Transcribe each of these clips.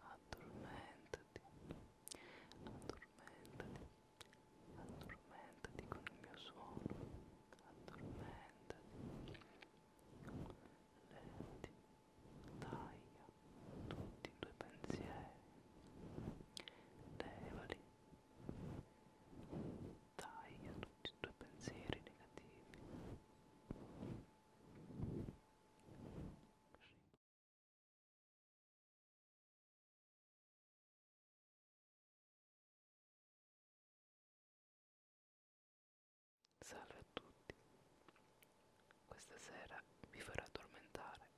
Addormentati, addormentati, addormentati con il mio suono, addormentati, letti, taglia tutti i tuoi pensieri, levali taglia tutti i tuoi pensieri negativi. Salve a tutti, questa sera vi farò addormentare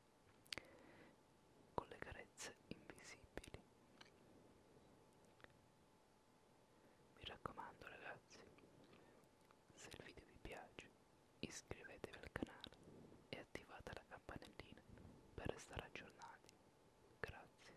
con le carezze invisibili. Mi raccomando ragazzi, se il video vi piace iscrivetevi al canale e attivate la campanellina per restare aggiornati. Grazie.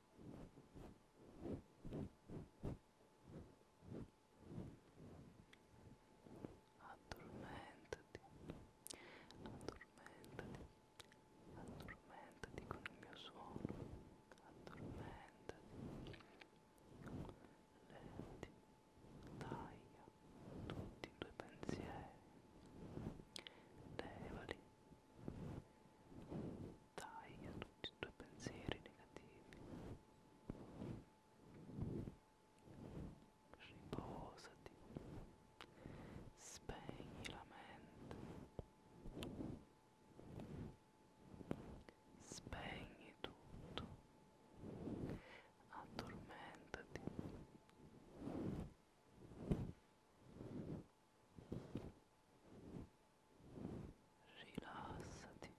addormentati addormentati addormentati con il mio suono addormentati lenti taglia tutti i tuoi pensieri levali Taglia tutti i tuoi pensieri negativi. Riposati. Spegni la mente. Spegni tutto. Addormentati rilassati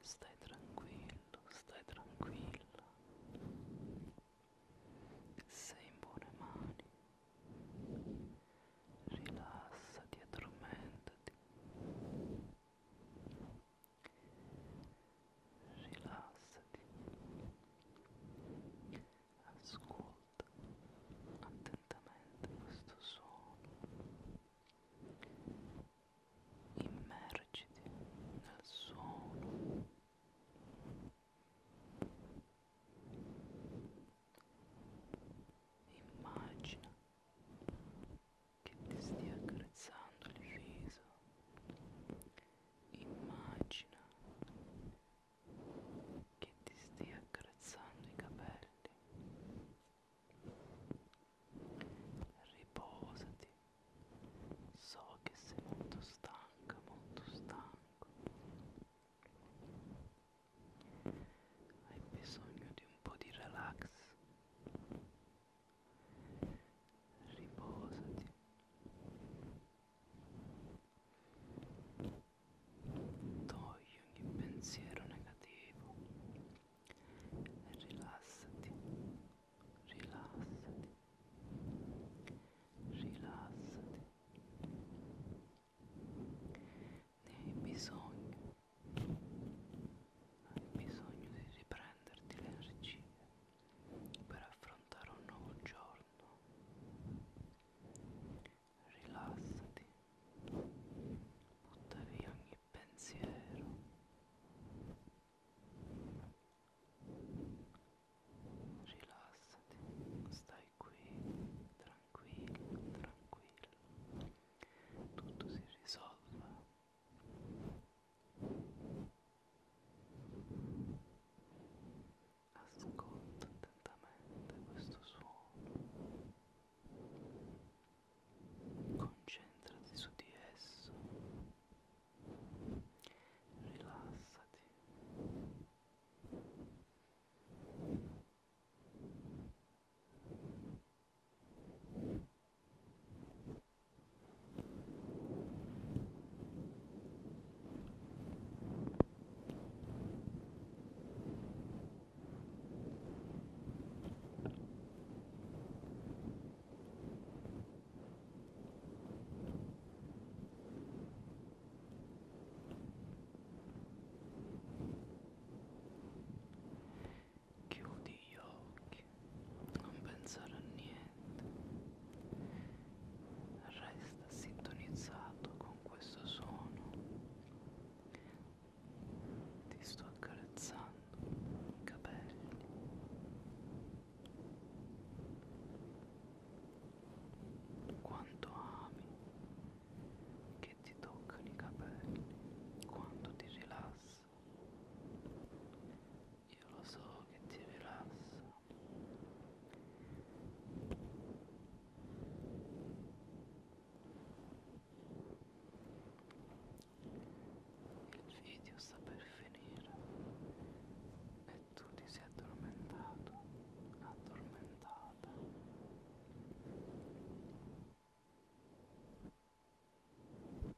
stai tranquillo stai tranquilla sei in buone mani rilassati e addormentati rilassati ascolta ascolta attentamente questo suono immergiti nel suono immagina che ti stia accarezzando il viso immagina che ti stia accarezzando i capelli. Riposati. So che sei molto stanca, molto stanco. Hai bisogno di un po' di relax. Riposati. Togli ogni pensiero negativo e rilassati, rilassati, rilassati. Ne hai bisogno, hai bisogno di riprenderti le energie per affrontare un nuovo giorno. Rilassati, butta via ogni pensiero. Rilassati, stai qui, tranquillo, tranquillo. Tutto si risolve. Ascolta attentamente questo suono. Concentrati su di esso. Rilassati. Chiudi gli occhi, non pensare a niente resta sintonizzato con questo suono ti sto accarezzando i capelli quanto ami che ti toccano i capelli quanto ti rilassi io lo so che ti rilassa il video sta per finire e tu ti sei addormentato addormentata